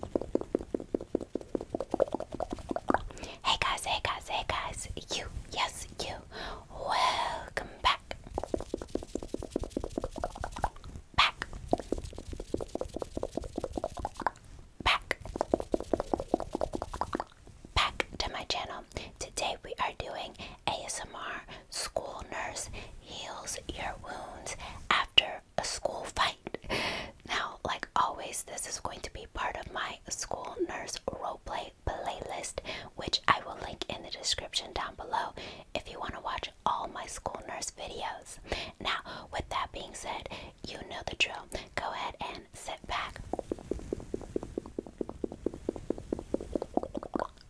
Hey guys, hey guys, hey guys, you, yes, you, welcome back. Back. Back. Back to my channel. Today we are doing ASMR School Nurse Heals Your Wounds After a school fight. Now, like always, this is going to be part of my school nurse roleplay playlist, which I will link in the description down below if you want to watch all my school nurse videos. Now, with that being said, you know the drill. Go ahead and sit back,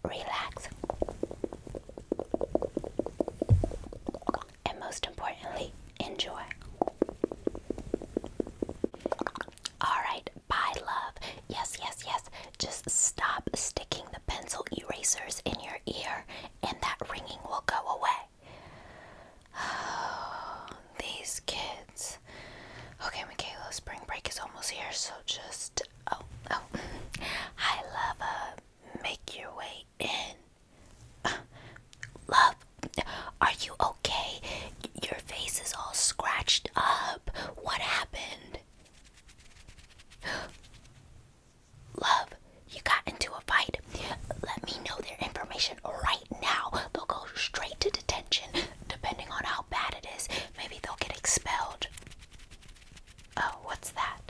relax, and most importantly, enjoy. Alright, bye, love. Yes, yes, yes. Just stop sticking the pencil erasers in your ear, and that ringing will go away. Oh, these kids. Okay, Michaela, spring break is almost here, so just. Oh, oh. Hi, love make your way in. love, are you okay? Your face is all scratched up. What happened? Love, you got into a fight. Let me know their information right now. They'll go straight to detention, depending on how bad it is. Maybe they'll get expelled. Oh, what's that?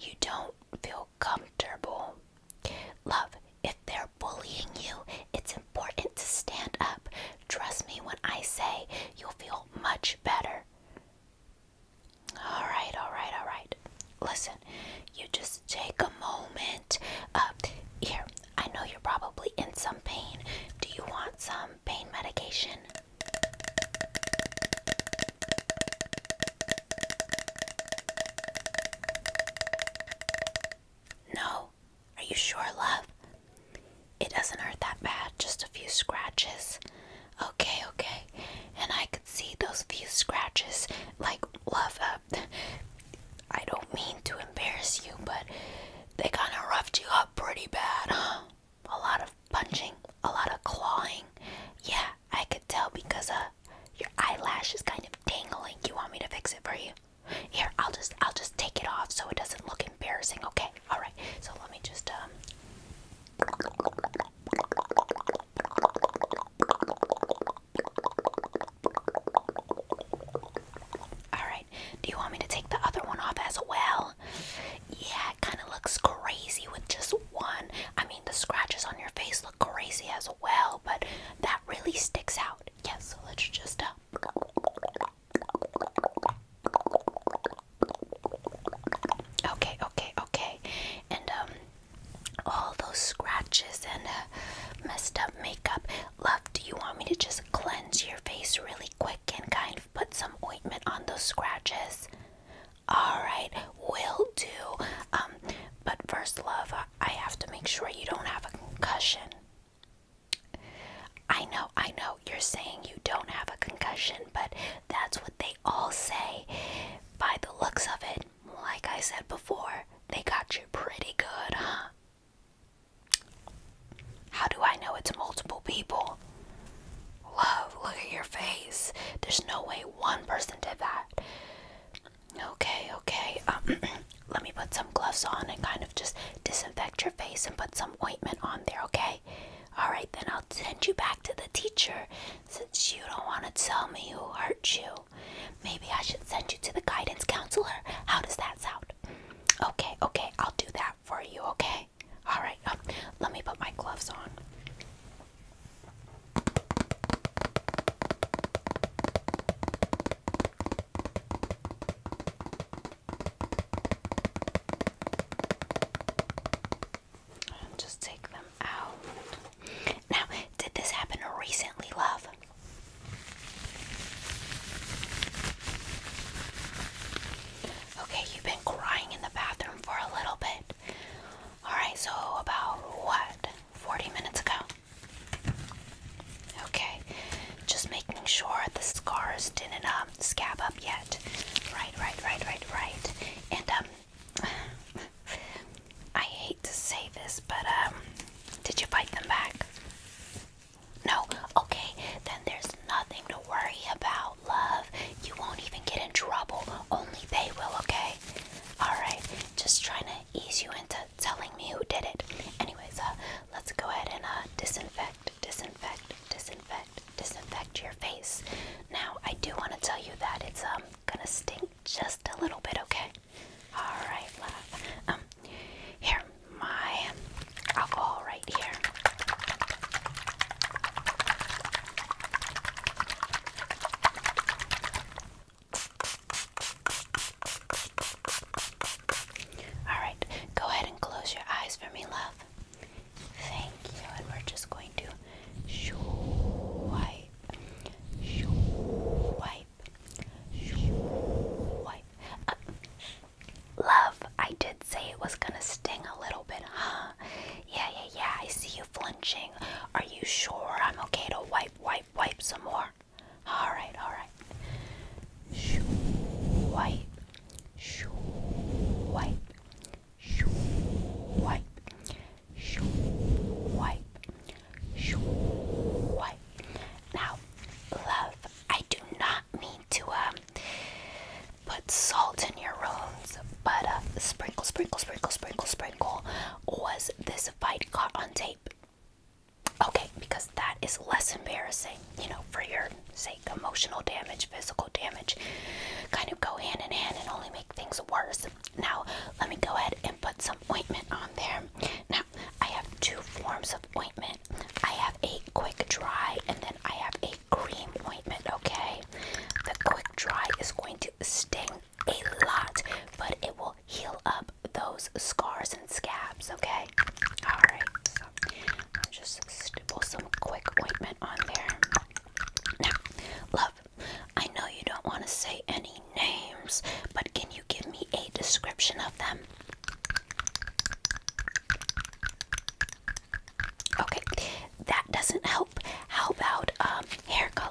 You don't feel comfortable. Love, if they're bullying you, it's important to stand up. Trust me when I say you'll feel much better. All right, all right, all right. Listen, you just take a moment. Uh, here, I know you're probably in some pain. Do you want some pain medication? No, are you sure, love? It doesn't hurt that bad, just a few scratches. Okay, okay. And I could see those few scratches. Like, love, uh, I don't mean to embarrass you, but they kind of roughed you up pretty bad, huh? A lot of punching, a lot of clawing. Yeah, I could tell because uh, your eyelash is kind of dangling. You want me to fix it for you? Here, I'll just I'll just take it off so it doesn't look embarrassing. Okay. All right. So let me just um, all right. Do you want me to take the other one off as well? Yeah, it kind of looks crazy with just one. I mean, the scratches on your face look crazy as well, but that really sticks out. Yes, yeah, so let's just. Uh... Okay, okay, okay. And um, all those scratches and uh, messed up makeup. Love, do you want me to just cleanse your face really quick and kind of put some ointment on those scratches? All right, will do. Um, but first, love, I have to make sure you don't have a concussion. I know, I know, you're saying you don't have a concussion, but that's what they all say. By the looks of it, like I said before, they got you pretty good, huh? How do I know it's multiple people? Love, look at your face. There's no way one person did that. Okay, okay. Um, let me put some gloves on and kind of just disinfect your face and put some ointment on there, okay? Alright, then I'll send you back to the teacher since you don't want to tell me who hurt you. Maybe I should send you to the guidance counselor. How does that sound? Okay, okay, I'll do that for you, okay? Alright, um, let me put my gloves on just take them out. Now, did this happen recently, love? Okay, you've been crying in the bathroom for a little bit. Alright, so about what? 40 minutes ago. Okay, just making sure the scars didn't um, scab up yet. Right, right, right, right, right. And um, I hate to say this, but um, did you bite them back? No. Okay, then there's nothing to worry about, love. You won't even get in trouble. Only they will. Okay. All right. Just trying to ease you into telling me who did it. Anyways, uh, let's go ahead and uh, disinfect, disinfect, disinfect, disinfect your face. Now, I do want to tell you that it's um gonna stink just a little bit, okay? All right, Um, here, my alcohol right here. Alright, go ahead and close your eyes for me, love. Thank you. And we're just going to shoo wipe, shoo uh, love, I did say it was gonna sting a little bit, huh? Yeah, yeah, yeah. I see you flinching. Are you sure I'm okay to wipe, wipe? wipe, some more. All right, all right. Shoo, wipe, wipe, wipe, wipe, wipe. Now, love, I do not mean to um put salt in your wounds, but uh, sprinkle, sprinkle, sprinkle, sprinkle, sprinkle was this? fight caught on tape. Okay, because that is less embarrassing, you know, for your sake. Emotional damage, physical damage kind of go hand in hand and only make things worse. Now, let me go ahead and put some ointment on there. Now, I have two forms of ointment I have a quick dry, and then I have a cream ointment, okay? The quick dry is going to sting a lot, but it will heal up those scars and scabs, okay? Alright, i just stipple some quick ointment on there. Now, love, I know you don't want to say any names, but can you give me a description of them? Okay, that doesn't help. How about um, hair color?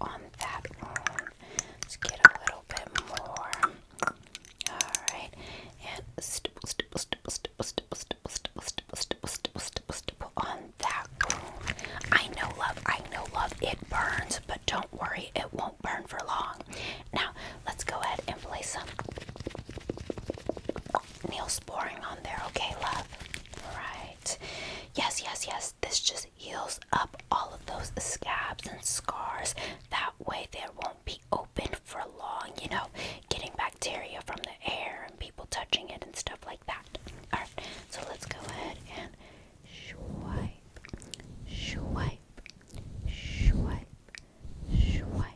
on that one. Let's get a little bit more. Alright, and stipple, stipple, stipple, stipple, stipple, stipple, stipple, stipple, stipple, stipple, stipple, stipple on that one. I know, love, I know, love, it burns, but don't worry, it won't burn for long. Now, let's go ahead and place some neosporin on there, okay, love? Alright. Yes, yes, yes, this just heals up all of those scabs and scars. That way, they won't be open for long, you know, getting bacteria from the air and people touching it and stuff like that. Alright, so let's go ahead and swipe, swipe, swipe, swipe,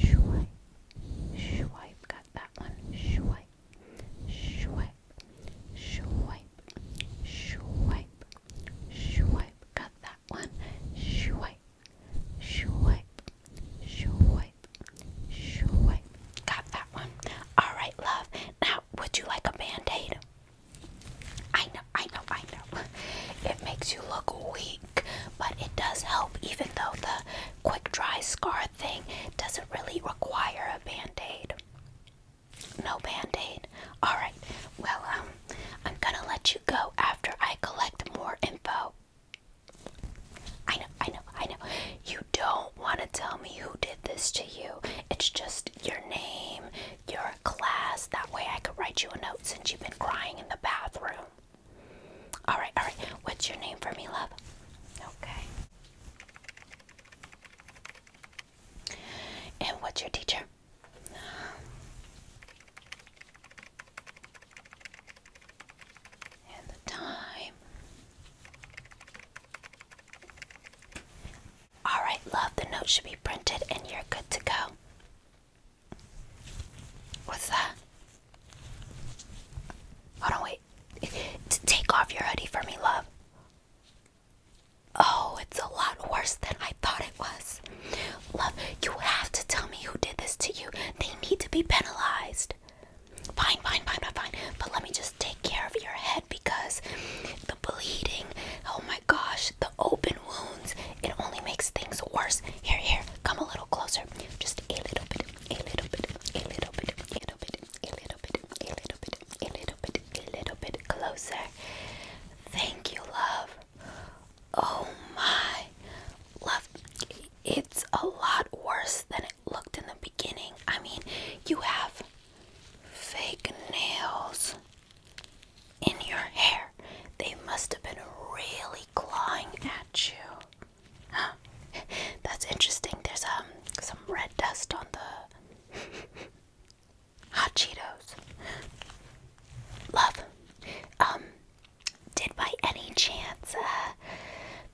swipe, swipe. Got that one. Swipe, swipe, swipe, swipe, swipe, swipe. Got that one. Swipe, swipe, swipe, swipe. Got that one. All right, love. Now, would you like a band-aid? I know, I know, I know. It makes you look weak, but it does help even though the quick dry scar thing doesn't really require a band aid. No band-aid. Alright. Well, um, I'm gonna let you go after I collect more info. I know, I know, I know. You don't wanna tell me who did this to you. It's just your name, your class. That way I could write you a note since you've been crying in the bathroom. Alright, alright. What's your name for me, love? Okay. And what's your teacher? And the time. All right, love, the note should be printed and you're good to go. What's that? Hold on, wait. take off your hoodie for me, love. Oh, it's a lot worse than I thought it was. Love, you have to tell me who did this to you. They need to be penalized. Fine, fine, fine, fine, fine. But let me just take care of your head because the bleeding, oh my gosh, the open wounds, it only makes things worse. Here, here, come a little closer. Just a little bit, a little bit, a little bit, a little bit, a little bit, a little bit, a little bit, a little bit closer. Thank you, love. Oh my, love, it's a lot worse than it looked in the beginning. I mean, you have fake nails in your hair. They must have been really clawing at you. Huh. That's interesting. There's um some red dust on the Hot Cheetos. Love. Um, did by any chance uh,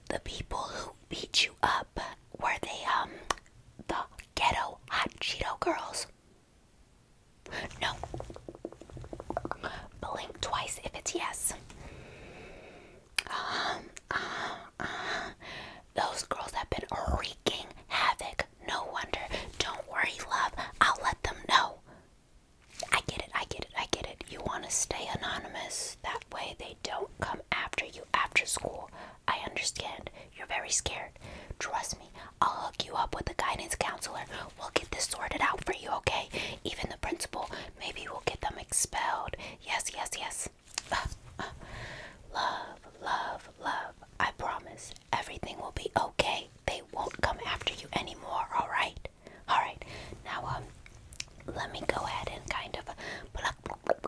the people who beat you up were they um the ghetto hot Cheeto girls? No. Blink twice if it's yes. Um, uh, uh, those girls have been wreaking havoc. No wonder. Don't worry, love. I'll let them know. I get it. I get it. I get it. You want to stay anonymous. That way they don't come after you after school. I understand. You're very scared. Trust me. I'll hook you up with a guidance counselor. We'll get this sorted out for you, okay? Even the principal. Maybe we'll get them expelled. Yes, yes, yes promise. love, love, love. I promise everything will be okay. They won't come after you anymore, alright? Alright, now, um, let me go ahead and kind of uh, pluck, pluck, pluck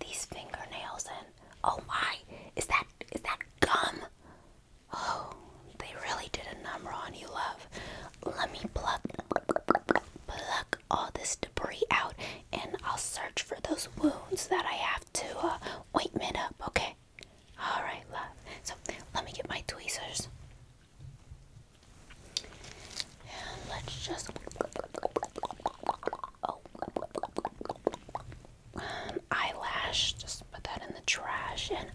these fingernails and oh my, is that, is that gum? Oh, they really did a number on you, love. Let me pluck, pluck, pluck, pluck, pluck, all this debris out and I'll search for those wounds that I have to uh, ointment up, okay? Alright, love. So let me get my tweezers. let's just. Um, eyelash. Just put that in the trash and.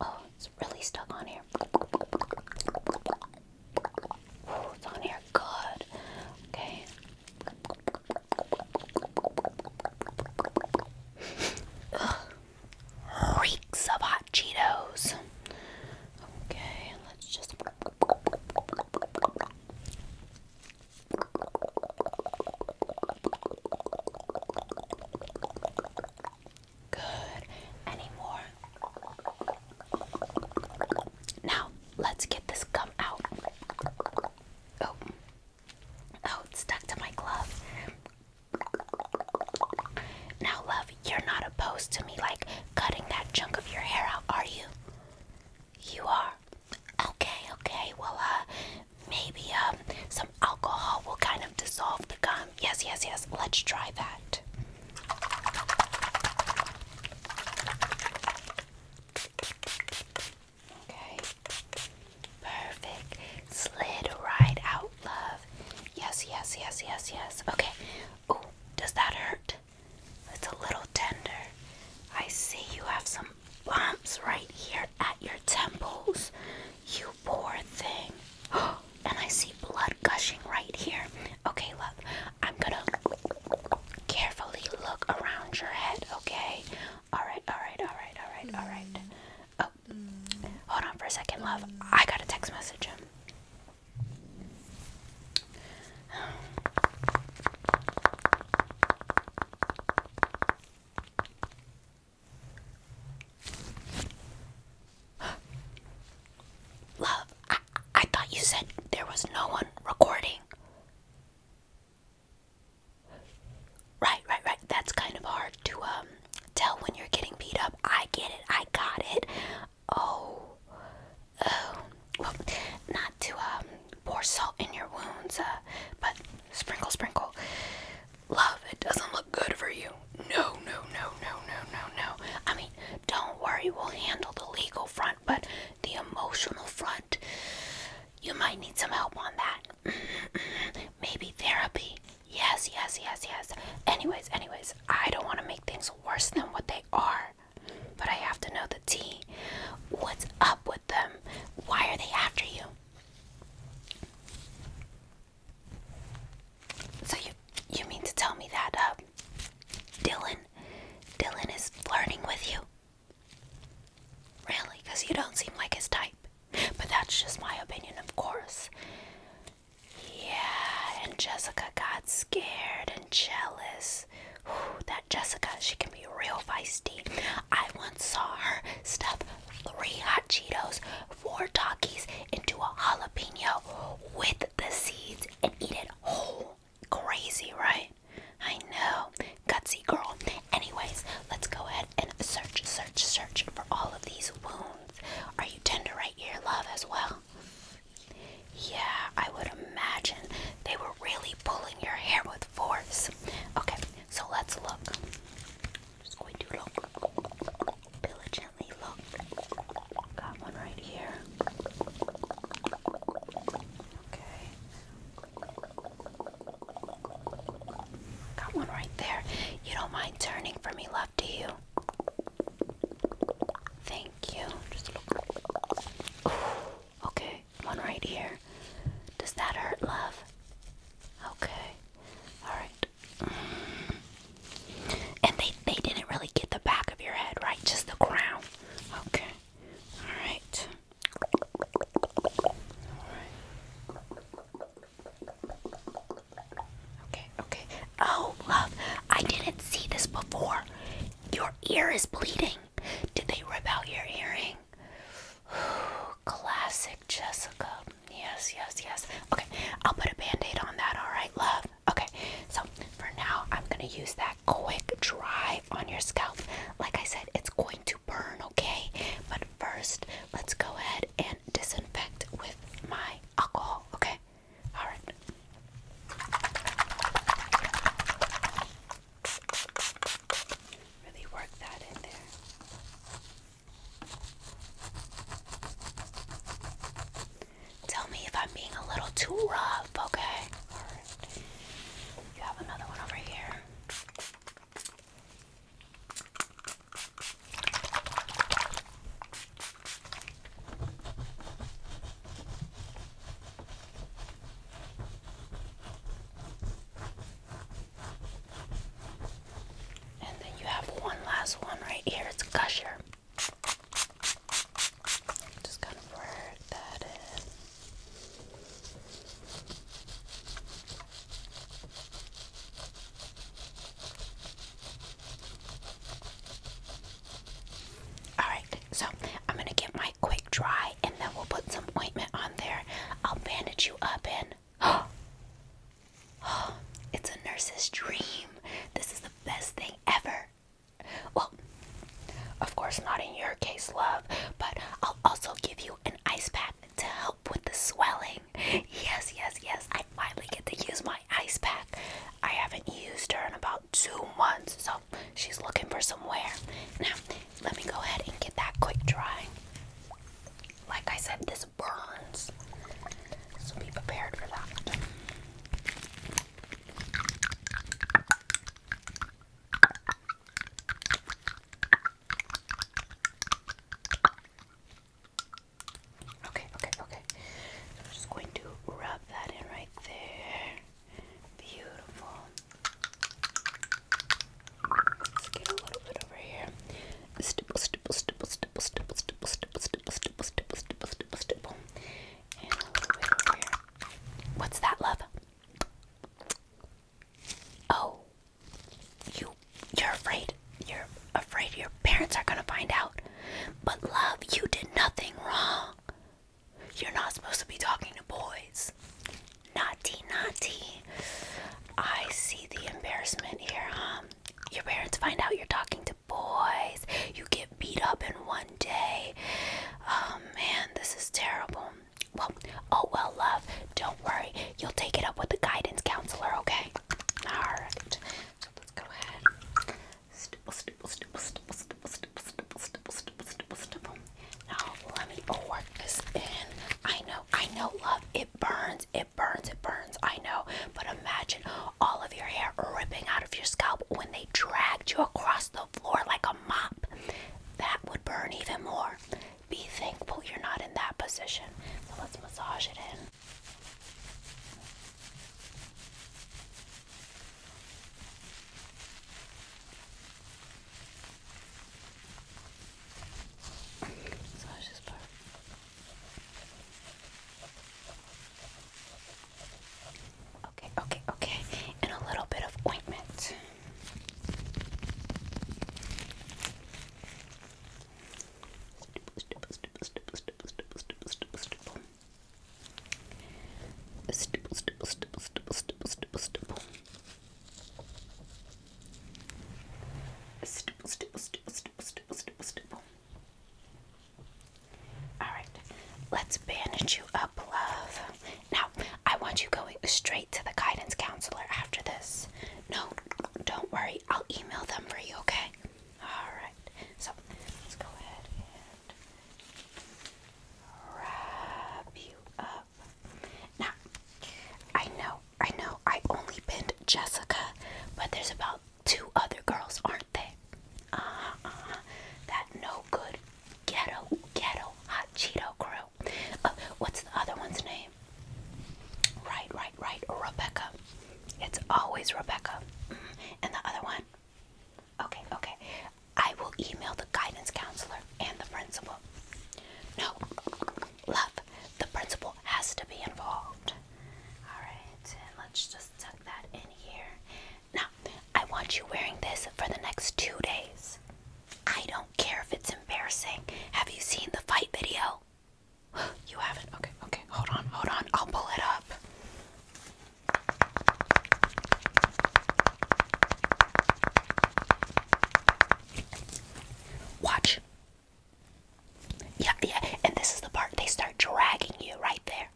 Oh, it's really stuck on here on here. Good. Okay. Reeks of hot Cheetos. Okay, let's just. Good. Any now, let's get this gum out. Oh. Oh, it's stuck to my glove. Now, love, you're not opposed to me like cutting that chunk of your hair out, are you? You are. Okay, okay. Well, uh, maybe um some alcohol will kind of dissolve the gum. Yes, yes, yes. Let's try that. Okay. Perfect. Slid right out, love. Yes, yes, yes, yes, yes. Okay. Oh, does that hurt? It's a little tender. I see you have some bumps right here at your temples. You poor thing. And I see blood gushing right here. Okay, love. I'm gonna carefully look around your head, okay? Alright, alright, alright, alright, alright. Mm. Oh, mm. hold on for a second, love. Mm. I got a text message Love, I, I thought you said there was no one recording. Right, right, right. That's kind of hard to um tell when you're getting beat up. I get it. I got it. Oh, oh. Well, not to um pour salt in your wounds, uh, but sprinkle, sprinkle. Love, it doesn't look good for you. No, no, no, no, no, no, no. I mean. Don't worry, we'll handle the legal front, but the emotional front, you might need some help on that. Maybe therapy. Yes, yes, yes, yes. Anyways, anyways, I don't want to make things worse than what they are, but I have to know the tea. What's up with them? Why are they after you? So you you mean to tell me that uh, Dylan, Dylan is flirting with you? Really? Because you don't seem like his type. But that's just my opinion, of course. Yeah, and Jessica got scared and jealous. Ooh, that Jessica, she can be real feisty. I once saw her stuff three hot Cheetos, four Takis into a jalapeno with the seeds and eat it whole. Crazy, right? I know. Gutsy girl. Anyways, let's go ahead and search, search, search for all of these wounds. Are you tender right here, love, as well? Yeah, I would imagine they were really pulling your hair with force. Okay, so let's look. just going to look. Diligently look. Got one right here. Okay. Got one right there. You don't mind turning for me left to you. Thank you. okay, one right here. Does that hurt, love? Okay. All right. And they they didn't really get the back of your head, right? Just the crown. Okay. All right. All right. Okay. Okay. Oh, love, I didn't see this before. Your ear is bleeding. Did they rip out your earring? Classic Jessica. Yes, yes, yes. Okay, I'll put a band aid on that, alright, love? Okay, so for now, I'm gonna use that quick dry on your scalp. Like I said, it's going to burn, okay? But first, let's go ahead and disinfect with my alcohol, okay? Alright. Really work that in there. Tell me if I'm being a little too rough, okay? You have another one over here. And then you have one last one right here. It's Gusher. Just kind of work that in. Alright, so I'm going to get my quick dry and then we'll put some ointment on there. I'll bandage you up and. Oh, oh, it's a nurse's dream. This is the best thing ever. Well, of course, not in your case, love, but I'll also give you an ice pack to help with the swelling. Yes, yes, yes, I finally get to use my ice pack. I haven't used her in about two months, so she's looking for some wear. Now, let me go ahead and get that quick dry. Like I said, this burns, so be prepared for that. Okay, okay, okay. I'm just going to rub that in right there. Beautiful. Let's get a little bit over here. stipple, stipple, stipple, stipple, stipple, stipple, stipple, stipple, stipple, stipple, stipple, stipple. What's that, love? Oh, you you're afraid. You're afraid your parents are gonna find out. But love, you did nothing wrong. You're not supposed to be talking to boys. Naughty, naughty. I see the embarrassment here, Um, Your parents find out you're talking to boys. You get beat up in one day. Oh man, this is terrible. Well, oh well, love, don't worry. You'll take it up with the guidance counselor, okay? Alright. So let's go ahead. Now let me work this in. I know, I know, love, it burns, it burns, it burns, I know. But imagine all of your hair ripping out of your scalp when they dragged you across the floor like a mop, that would burn even more. Be thankful you're not in that position. So let's massage it in. Massage this part. Okay, okay, okay. And a little bit of ointment. Stipple, stipple, stipple, stipple, stipple, stipple, stipple, stipple. Stipple, stipple, stipple, stipple, stipple, stipple, stipple. Stipple, stipple, stipple, stipple, All right, let's bandage you up, love. Now, I want you going straight to the guidance counselor after this. No, don't worry. I'll email them for you, okay? Alright. So, let's go ahead and wrap you up. Now, I know, I know, I only pinned Jessica, but there's about two other girls, aren't they? Uh-huh, uh-huh, That no good Ghetto, Ghetto Hot Cheeto Crew. Uh, what's the other one's name? Right, right, right. Rebecca. It's always Rebecca. Mm-hmm. And the other one? Okay, okay. I will email the guidance counselor and the principal. No, love, the principal has to be involved. Alright, let's just tuck that in here. Now, I want you wearing this for the next two days. I don't care if it's embarrassing. Have you seen the fight video? You haven't? Okay, okay. Hold on, hold on. I'll pull it up. Watch. Yeah, yeah. And this is the part they start dragging you right there.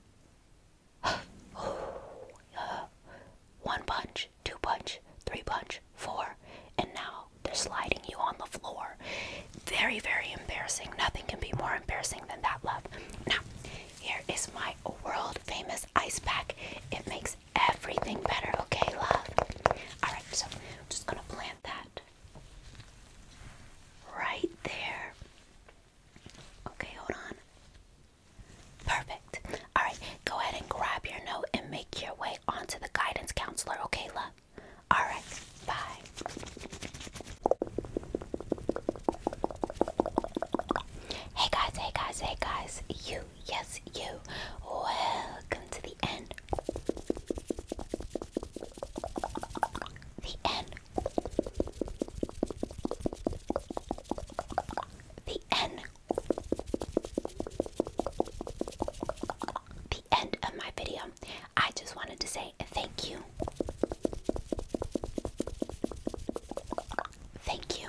One punch, two punch, three punch, four, and now they're sliding you on the floor. Very, very embarrassing. Nothing can be more embarrassing than that, love. Now, here is my world famous ice pack. It makes everything better, okay, love? Alright, so I'm just gonna plant that right there. Okay, hold on. Perfect. All right, go ahead and grab your note and make your way onto the guidance counselor, okay, love? All right, bye. Hey guys, hey guys, hey guys, you, yes, you, welcome to the end. The end. The end the end of my video. I just wanted to say thank you. Thank you.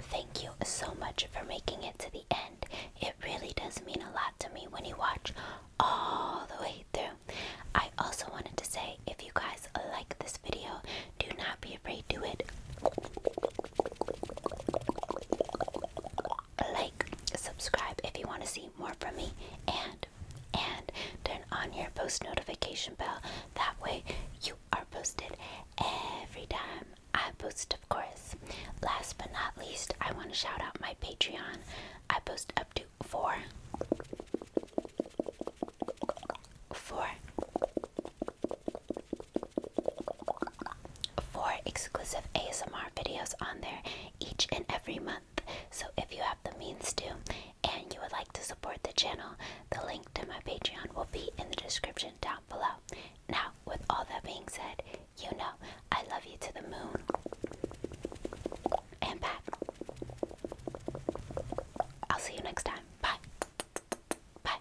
Thank you so much for making it to the end. It really does mean a lot to me when you watch all the way through. I also wanted to say if you guys like this video, do not be afraid to it. Like, subscribe if you want to see more from me, and and turn on your post notification bell. That way, you are posted every time I post, of course. Last but not least, I want to shout out my Patreon. I post up to four, four, four exclusive ASMR videos on there each and every month. So if you have the means to and you would like to support the channel, the link to my Patreon will be in the description down below. Now, with all that being said, you know I love you to the moon and back. I'll see you next time. Bye. Bye.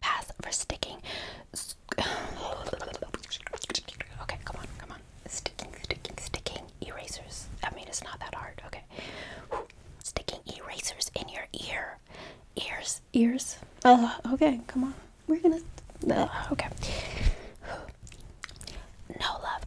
Pass for sticking. Okay, come on, come on. Sticking, sticking, sticking erasers. I mean, it's not that hard. Okay. Sticking erasers in your ear. Ears, ears. Uh, okay, come on. We're gonna. Uh, okay. No love.